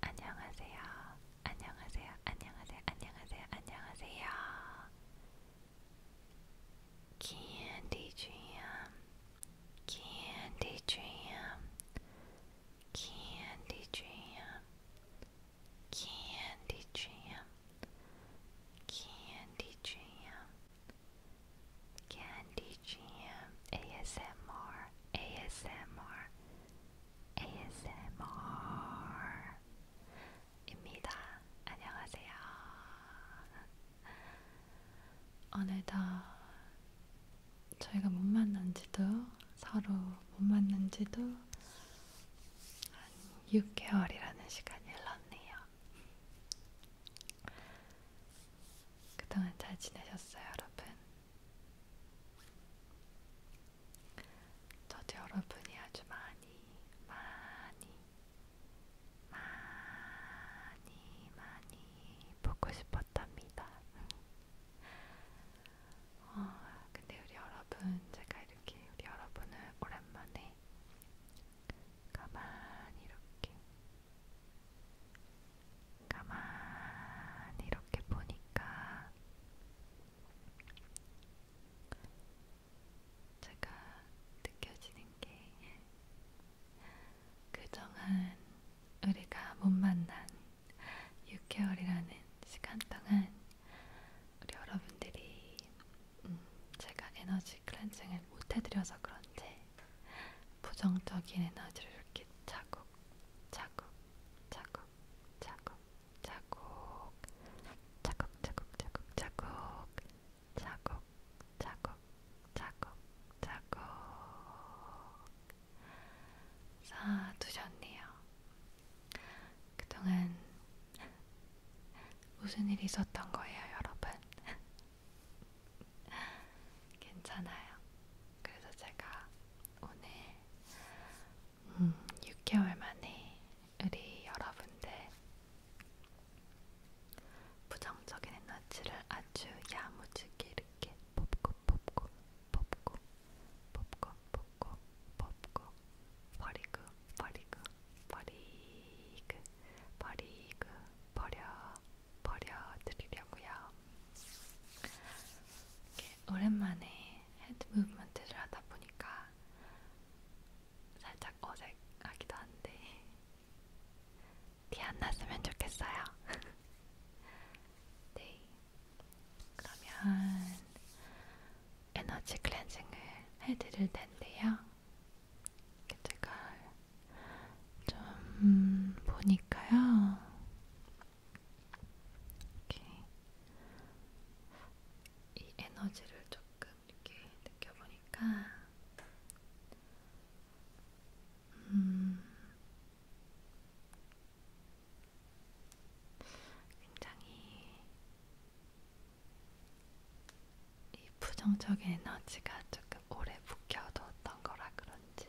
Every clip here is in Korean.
안녕하세요. 안녕하세요. 안녕하세요. 안녕하세요. 안녕하세요. Candy Jam. Candy Jam. Candy Jam. Candy Jam. Candy Jam. Candy Jam. ASMR. ASMR. ASMR입니다. 안녕하세요. 오늘도 저희가 못 만난지도 서로 못 만난지도 한 6개월이라는 시간이 흘렀네요. 그동안 잘 지내셨어요, 여러분? 저도 여러분이 아주 많이, 많이, 많이, 많이 보고 싶었답니다. 어, 근데 우리 여러분, 제가 이렇게 우리 여러분을 오랜만에 가만히 이렇게, 가만히 이렇게 보니까 제가 느껴지는 게 그동안 우리가 못 만난 6개월이라는 시간 동안 우리 여러분들이 음, 제가 에너지 클렌징을 못 해드려서 그런지 부정적인 에너지를 이렇게 차곡 차곡 차곡 차곡 자국, 자국, 자국, 자국, 자국, 자국, 자국, 자국, 자국. 쌓아두셨네요. 그동안 무슨 일이 있었던 거예요, 여러분? 괜찮아요. 그래서 제가 오늘 음, 6개월 만에 우리 여러분들 부정적인 에너지를 아주 야무지게 이렇게 뽑고 뽑고 뽑고 뽑고 뽑고 뽑고 버리고 버리고 버리고 버리고 버려 버려 드리려고요. 이렇게 오랜만에 헤드 무브먼트를 하다 보니까 살짝 어색하기도 한데 티 안 났으면 좋겠어요. 네, 그러면 에너지 클렌징을 해드릴 텐데요. 제가 좀 보니까요. 이렇게 이 에너지를 조금 이렇게 느껴보니까 음 굉장히 이 부정적인 에너지가 조금 오래 묵혀뒀던 거라 그런지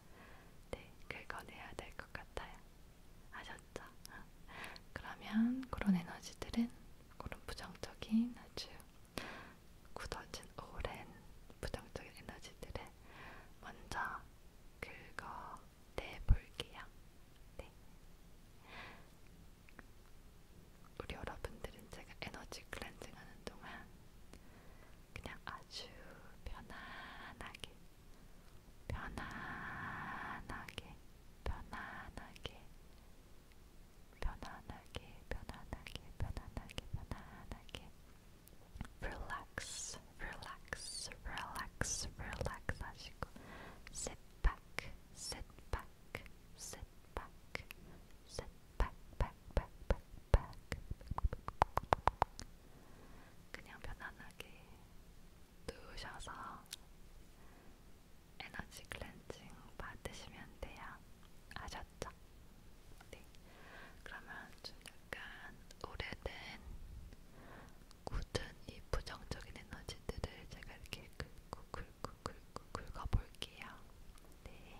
네, 긁어내야 될 것 같아요. 아셨죠? 그러면 그런 에너지들은 그런 부정적인 아주 굳어진 오랜 부정적인 에너지들을 먼저 긁어내볼게요. 네. 우리 여러분들은 제가 에너지 클렌징 하는 동안 Relax, relax, relax, relax 하시고 sit back, sit back, sit back, sit back, back, back, back, back. 그냥 편안하게 누우셔서 에너지 클렌징 받으시면 돼요. 아셨죠? 네. 그러면 좀 약간 오래된 굳은 이 부정적인 에너지들을 제가 이렇게 긁고 긁고 긁고 긁어볼게요. 네.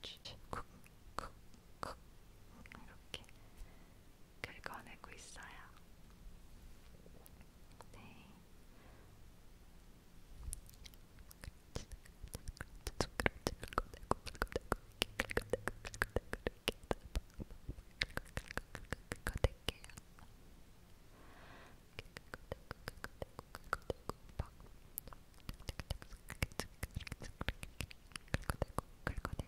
쿡쿡쿡 이렇게 긁어내고 있어요. 네. 긁어낼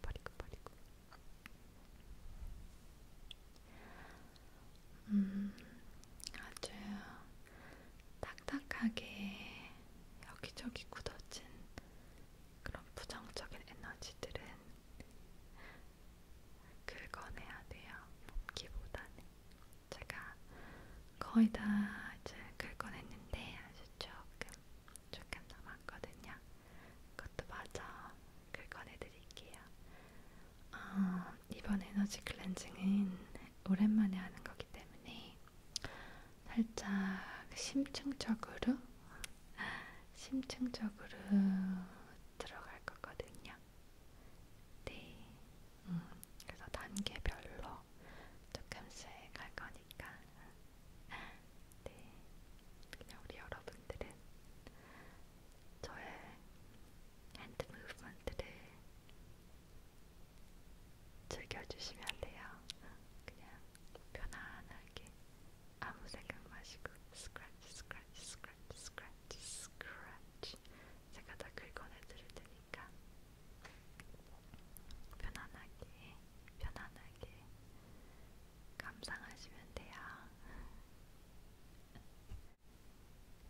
버리고 버리고 버리고 음 아주 딱딱하게 여기저기 굳어진 그런 부정적인 에너지들은 긁어내야 돼요. 뽑기보다는 제가 거의 다 이제 긁어냈는데 아주 조금 조금 남았거든요. 그것도 맞아. 글 꺼내드릴게요. 아, 이번 에너지 클렌징은 오랜만에 하는 거기 때문에 살짝 심층적으로, 심층적으로 들어갈 거거든요. 네. 음, 그래서 단계별로 조금씩 갈 거니까 네, 그냥 우리 여러분들은 저의 핸드 무브먼트를 즐겨주시면 돼요. 그냥 편안하게 아무 생각 마시고 스크래치, 스크래치, 스크래치, 스크래치, 스크래치 제가 다 긁어내드릴 테니까 편안하게, 편안하게 감상하시면 돼요.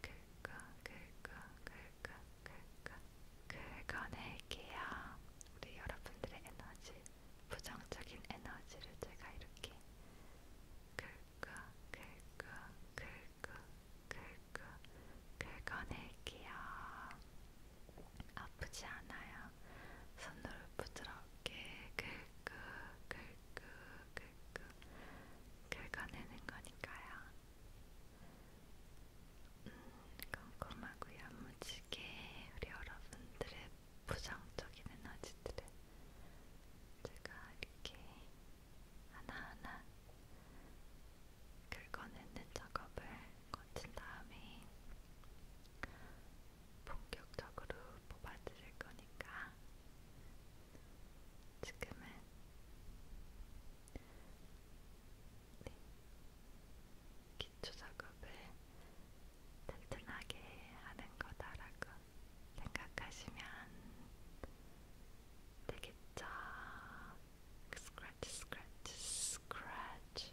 긁어, 긁어, 긁어, 긁어, 긁어낼게요. 우리 여러분들의 에너지, 부정적인 에너지를 제가 이렇게 긁어, 긁어, 긁어, 긁어, 긁어낼게요. 아프지 않아요. 손으로 부드럽게 긁고 긁고 긁고 긁어내는 거니까요. 음, 꼼꼼하고 야무지게 우리 여러분들의 부정적인 에너지들을 제가 이렇게 하나하나 긁어내는 작업을 거친 다음에 본격적으로 뽑아드릴 거니까 지금은 네. 기초 작업을 튼튼하게 하는 거다라고 생각하시면 되겠죠. 스크래치, 스크래치, 스크래치.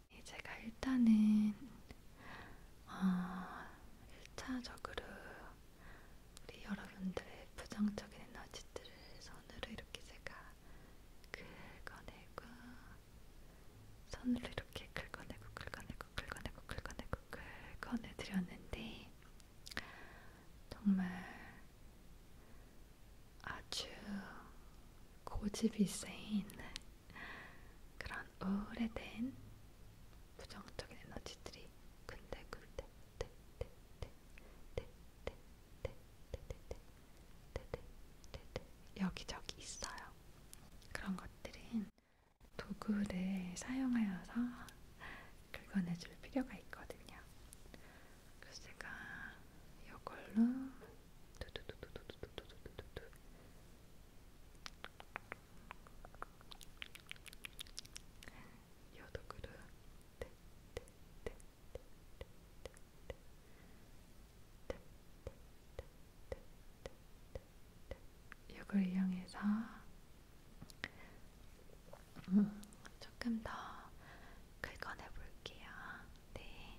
예, 제가 일단은 어, 아, 1차적으로 우리 여러분들의 부정적인 에너지들을 손으로 이렇게 제가 긁어내고 손으로 이렇게 긁어내고 긁어내고 긁어내고 긁어내고 긁어내드렸는데 정말 아주 고집이 센 그런 오래된 부정적인 에너지들이 근데근데 여기저기 있어요. 그런 것들은 도구를 사용하여서 긁어내줄 필요가 있거든요. 그래서 제가 이걸로 여덕으로 이걸 이용해서 음, 조금 더 긁어내 볼게요. 네.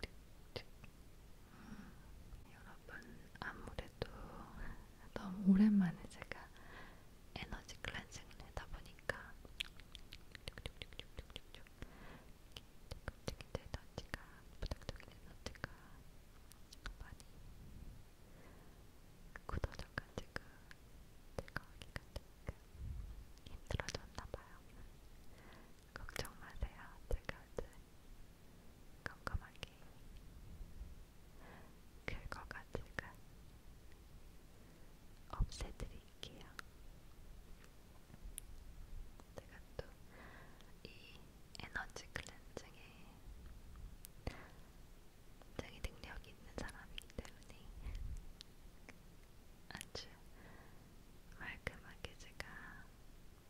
틱틱틱. 여러분 아무래도 너무 오랜만에 제가 에너지 클렌징을 하다 보니까 틱틱틱틱틱 에너지가 부탁적인 에너지가 많이 굳어져가지고 제가 하기가 조금 힘들어졌나봐요. 걱정 마세요. 제가 이제 깜깜하게 긁어가지고 없애드릴게요. 제가 또 이 에너지 클렌징에 굉장히 능력이 있는 사람이기 때문에 아주 말끔하게 제가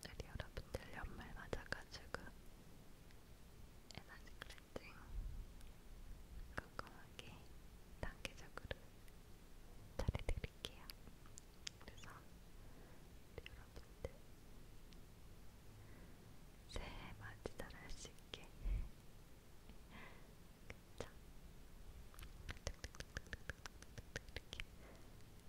우리 여러분들 연말 맞아가지고 에너지 클렌징 꼼꼼하게 단계적으로 잘해드릴게요. 그래서 우리 여러분들 새해 맞이 잘할수 있게 그쵸? 이렇게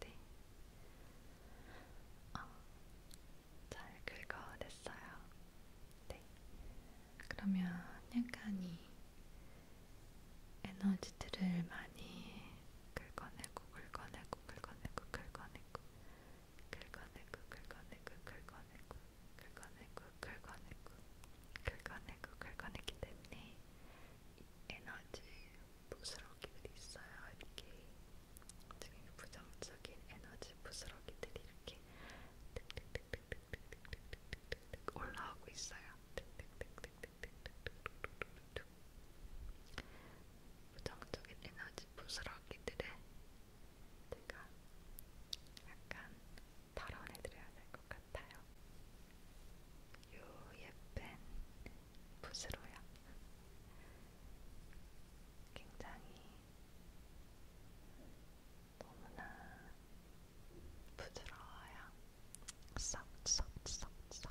네. 아, 잘 긁어냈어요. 네. 그러면 약간 이 에너지들을 많이 긁어내고 긁어내고 긁어내고 긁어내고 긁어내고 긁어내고 긁어내고 긁어내고 긁어내고 긁어내고 긁어내기 때문에 에너지 부스러기들이 있어요. 이렇게 지금 부정적인 에너지 부스러기들이 이렇게 득득득득득득득득득득 올라오고 있어요. 득득득득득득득득득 부정적인 에너지 부스러기들의 제가 약간 발언해드려야 될 것 같아요. 요 예쁜 붓으로요. 굉장히 너무나 부드러워요. 쏙쏙쏙쏙쏙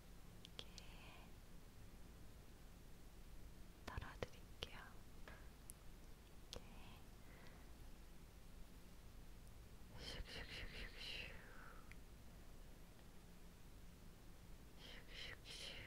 이렇게 덜어드릴게요. 이렇게 슉슉슉슉슉 슉슉슉슉 이렇게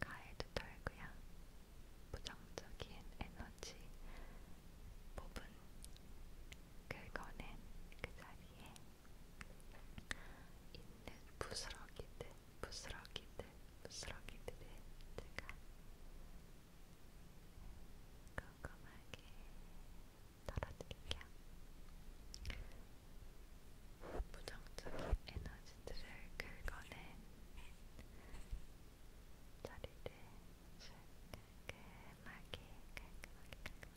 가에도 털고요. 부정적인 에너지 부분 긁어낸 그 자리에 있는 부스러기들, 부스러기들, 부스러기들을 제가 꼼꼼하게 털어드릴게요. 부정적인 에너지들을 긁어낸 자리를 깔끔하게 깔끔하게 깔끔하게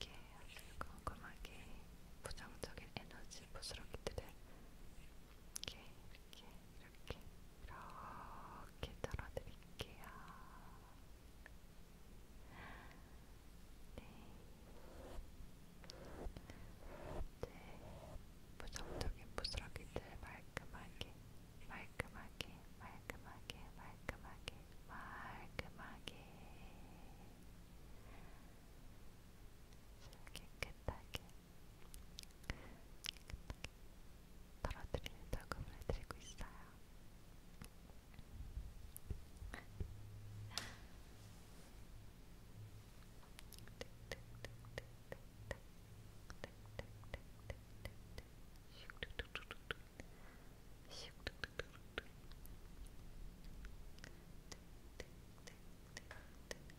이렇게 아주 꼼꼼하게 부정적인 에너지 부스러기들을 이렇게 이렇게 이렇게 이렇게 털어드릴게요. 네. 이제 네. 부정적인 부스러기들 말끔하게 말끔하게 말끔하게 말끔하게 말끔하게 깨끗하게 털어드리는 녹음을 해드리고 있어요. 네,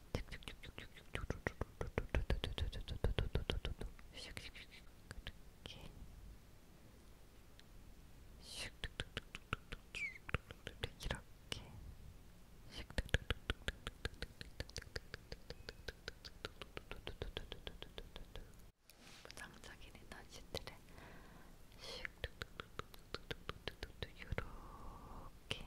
부정적인 에너지들을 슉, 뚝뚝뚝뚝뚝뚝뚝뚝 요렇게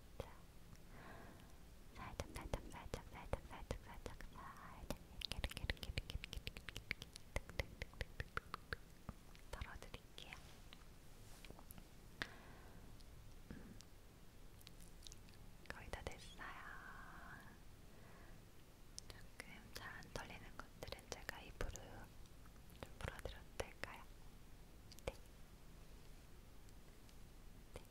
자, 살짝, 살짝, 살짝, 살짝, 살짝, 살짝, 살짝, 이렇게, 이렇게, 이렇게, 이렇게, 이렇게, 이렇게, 덜어드릴게요. 음, 거의 다 됐어요. 조금 잘안 털리는 것들은 제가 입으로 좀 풀어드려도 될까요? 네. 네.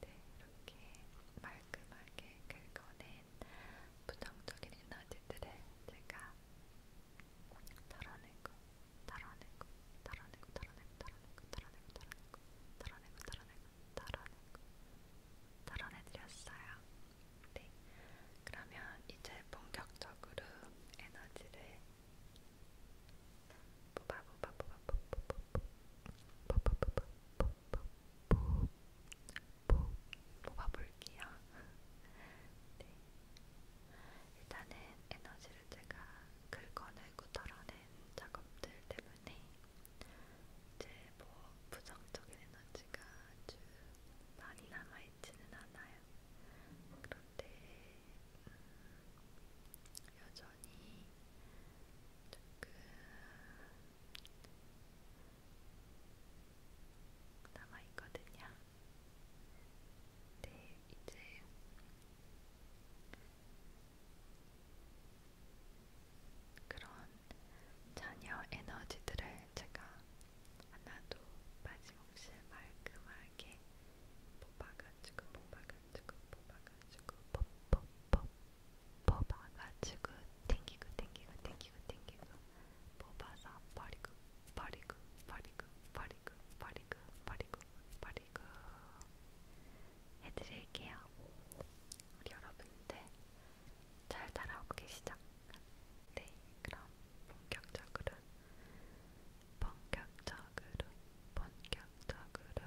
네, 이렇게 말끔하게 긁어낸 부정적인 에너지들을 제가 털어내고, 털어내고, 털어내고, 털어내고, 털어내고, 털어내고, 털어내고, 털어내고, 털어내고, 털어내고, 털어내드렸어요. 네, 그러면 이제 본격적으로 에너지를 뽑아볼게요. 네. 일단은 에너지를 제가 긁어내고 덜어낸 작업들 때문에 이제 뭐 부정적인 에너지가 아주 많이 남아있지는 않아요. 그런데 음, 여전히 전이 조금 남아있거든요. 네, 이제 그런 자녀 에너지들을 제가 하나도 빠짐없이 말끔하게 그 뽑아가지고 뽑아가지고 뽑아가지고 가지고 퍽퍽퍽 뽑아가지고 땡기고 땡기고 땡기고 땡기고 뽑아서 버리고 버리고 버리고 버리고 버리고 버리고 버리고 해드릴게요. 우리 여러분들 잘 따라오고 계시죠? 네, 그럼 본격적으로 본격적으로 본격적으로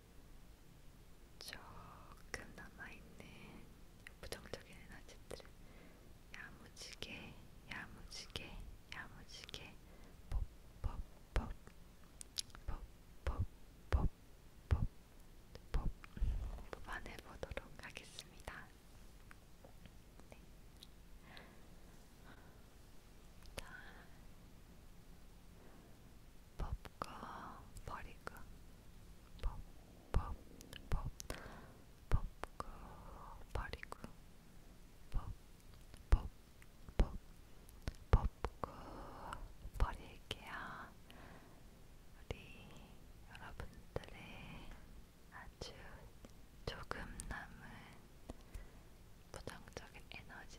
조금 남아있는 부정적인 에너지들을 야무지게 야무지게 야무지게 뽀뽀뽀 뽀뽀뽀뽀 뽑아내보도록 하겠습니다. 네. 자, 법과 버리고 법법 법, 법고 버리고 법법 법, 법고 버릴게요. 우리 여러분들의 아주 조금 남은 부정적인 에너지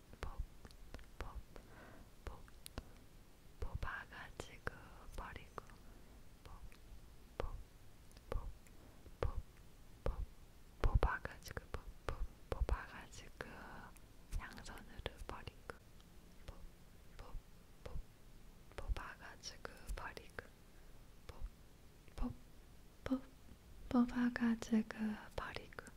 뽑, 뽑, 뽑, 뽑아가지고 버리고, 뽑, 뽑, 뽑, 뽑, 뽑, 뽑아가지고, 뽑, 뽑, 뽑아가지고, 양손으로 버리고, 뽑, 뽑, 뽑, 뽑아가지고 버리고, 뽑, 뽑, 뽑, 뽑아가지고 버리고.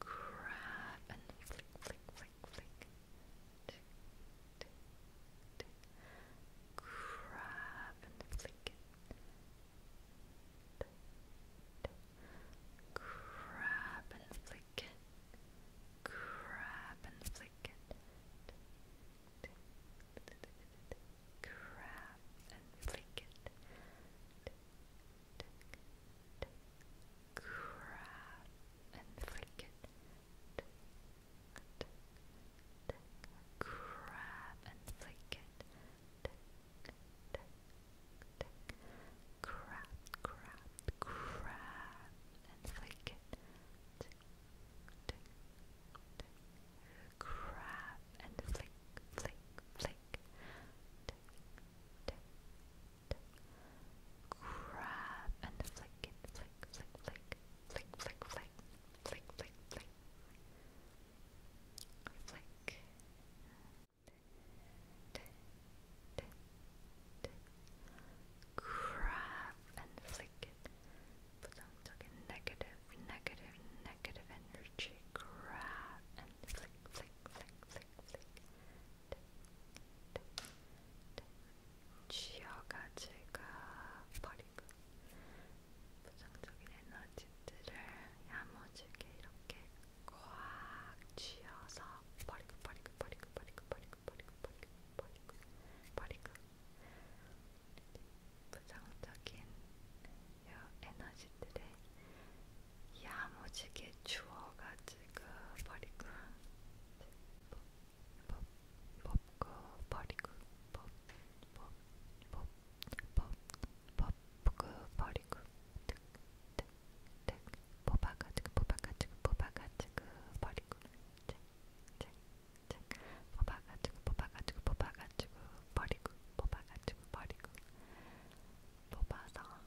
grab and flick, flick, flick, flick. Grab and flick it. Grab and flick it. Grab and flick it. Grab and flick it grab and flick it. Grab and flick it. Grab, grab, grab and flick it. Grab and flick, flick, flick grab and flick it, flick, flick, flick, flick, flick, flick, flick, flick, flick, flick. T -t -t -t. Grab and flick it. But I'm talking negative, negative, negative energy. Grab and flick, flick, flick, flick, flick. 쥐어가지가 버리고 부정적인 에너지들을 야무지게 이렇게 꽉 쥐어서 버리고 버리고 버리고 버리고 버리고 버리고 버리고 버리고 버리고 부정적인 요 에너지들의 야무지게 주워가지고 버리고 법, 법, 고 버리고 법, 법, 법, 법, 법, 고 버리고 득, 득, 득 뽑아가지고 뽑아가지고 뽑아가지고 버리고 잭, 잭, 잭 뽑아가지고 뽑아가지고 뽑아가지고 버리고 뽑아가지고 버리고 뽑아서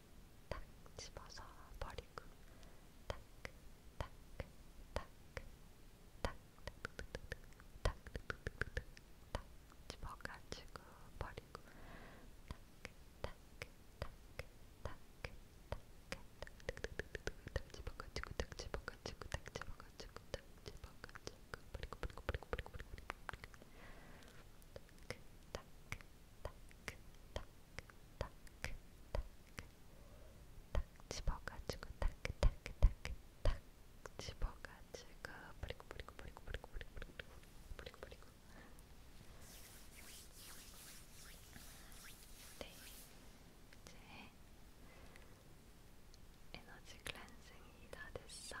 탁 집어서 버리고 탁, 탁, 탁, 탁, 탁, 탁 집어가지고 버리고 탁, 탁, 탁, 탁 집어가지고 탁 집어가지고 탁 집어가지고 탁 집어가지고 버리고 버리고 버리고 버리고 버리고 버리고 탁탁탁탁탁탁탁탁 집어가지고 탁탁탁탁탁 집어가지고 뿌리고 뿌리고 뿌리고 뿌리고 뿌리고 뿌리고 뿌리고 뿌리고 네 이제 에너지 클렌징이 다 됐어요.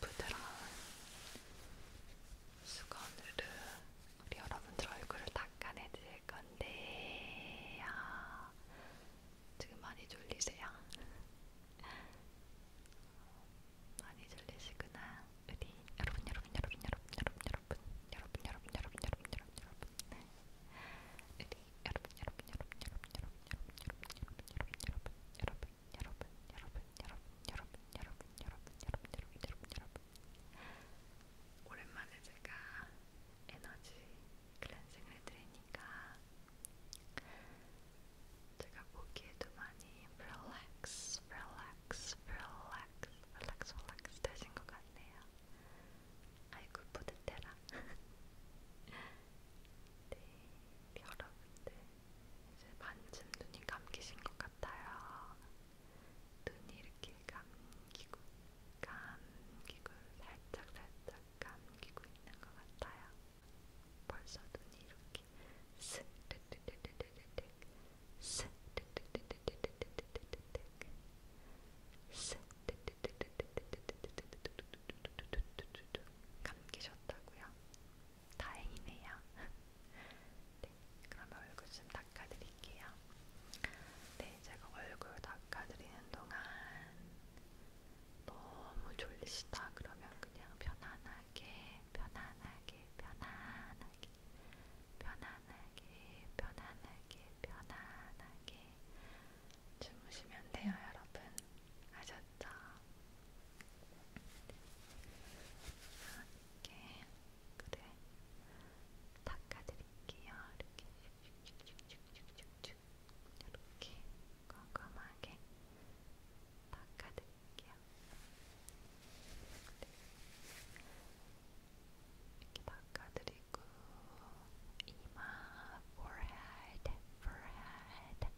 부드러운 수건으로 우리 여러분들 얼굴을 닦아내드릴 건데요. 지금 많이 졸리세요? 많이 졸리시구나. 우리 여러분, 여러분, 여러분, 여러분, 여러분, 여러분, 여러분, 여러분, 여러분, 여러분, 여러분, 여러분, 여러분, 오랜만에 제가 에너지 클렌징을 해드리니까 제가 보기에도 많이 relax, relax, relax, relax, relax 되신 것 같네요. 아이고, 뿌듯해라. 네, 여러분들 이제 반쯤 눈이 감기신 것 같아요. 눈이 이렇게 감기고 감기고 살짝 살짝 감기고 있는 것 같아요. 벌써 눈이 이렇게 스르르르르르르 스르르르르르르르 스르르르르르르 감기셨다고요? 다행이네요. 네, 그러면 얼굴 좀 닦아드릴게요. 네, 제가 얼굴 닦아드리는 동안 너무 졸리시다 그러면 그냥 편안하게, 편안하게, 편안하게, 편안하게, 편안하게, 편안하게 주무시면 돼요, 여러분. 아셨죠? 살짝 이렇게 그래 닦아드릴게요. 이렇게 쭉쭉쭉쭉쭉 이렇게 꼼꼼하게 닦아드릴게요. 네. 이렇게 닦아드리고 이마, forehead, forehead,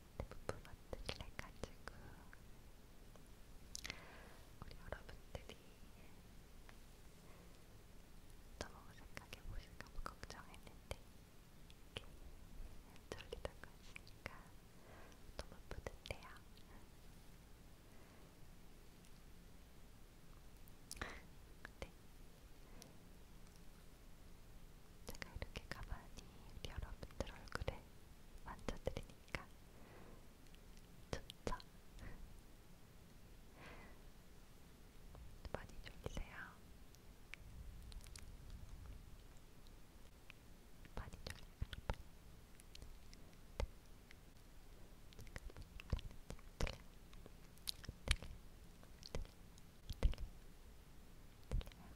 대부분 만들기를 해가지고 우리 여러분들이 너무 생각해 보실까봐 뭐 걱정했는데 이렇게 졸리던 것이니까 너무 뿌듯해요. 네. 제가 이렇게 가만히 우리 여러분들 얼굴에 네, 만져드리니까 좋죠? 많이 졸리세요? 많이 졸리세요? 네.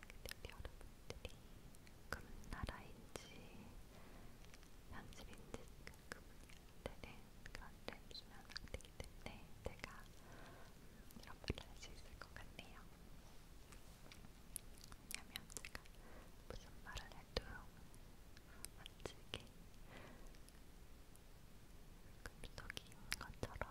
그들 여러분들이 그 나라인지 현실인지 그분들은 그런 랩수면 안 되기 때문에 제가 이런 말을 할 수 있을 것 같네요. 왜냐면 제가 무슨 말을 해도 멋지게 금속인 것처럼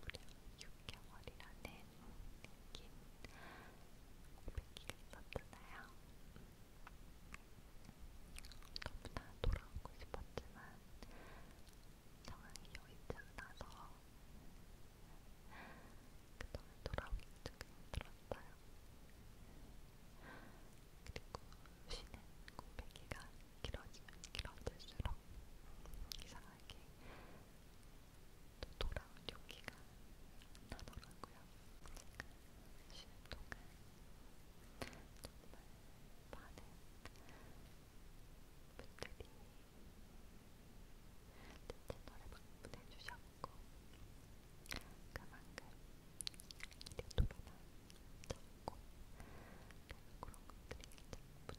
무려 6개월이라는 긴 고백기가 있었잖아요. 너무나 돌아오고 싶었지만 상황이 여의치 않아서 그동안 돌아오기 조금 힘들었어요. 그리고 쉬는 고백기가 길어지면 길어질수록 이상하게 또 돌아올 용기가 나더라고요. 쉬는 동안 정말 많은 분들이 제 채널에 방문해주셨고 그만큼 유튜브나 적고 그런 것들이 참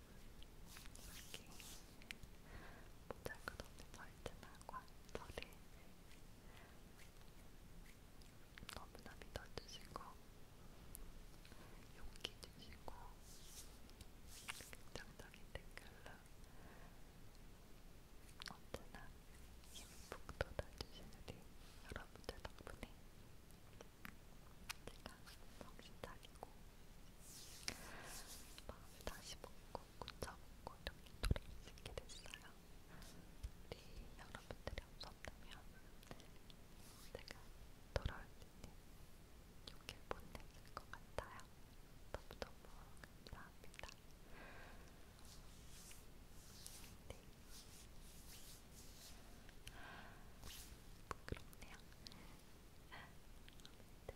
이렇게 모자이크 너무 절제하고 저를 너무나 믿어주시고 용기 주시고 긍정적인 댓글로 언제나 힘푹 돋아주시는 우리 여러분들 덕분에 제가 정신 차리고 마음을 다시 먹고 고쳐먹고 이렇게 노래를 쓰게 됐어요. 우리 여러분들이 없었다면 제가 돌아올 때는 이렇게 못 냈을 것 같아요. 너무너무 감사합니다. 네. 부끄럽네요. 아, 아무튼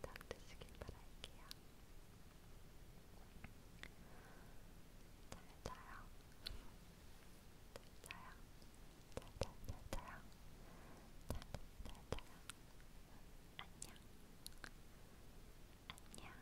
푹 잠드시길 바랄게요. 잘 자요. 잘 자요. 잘, 잘, 잘 자요. 잘, 잘, 잘 자요. 안녕. 안녕.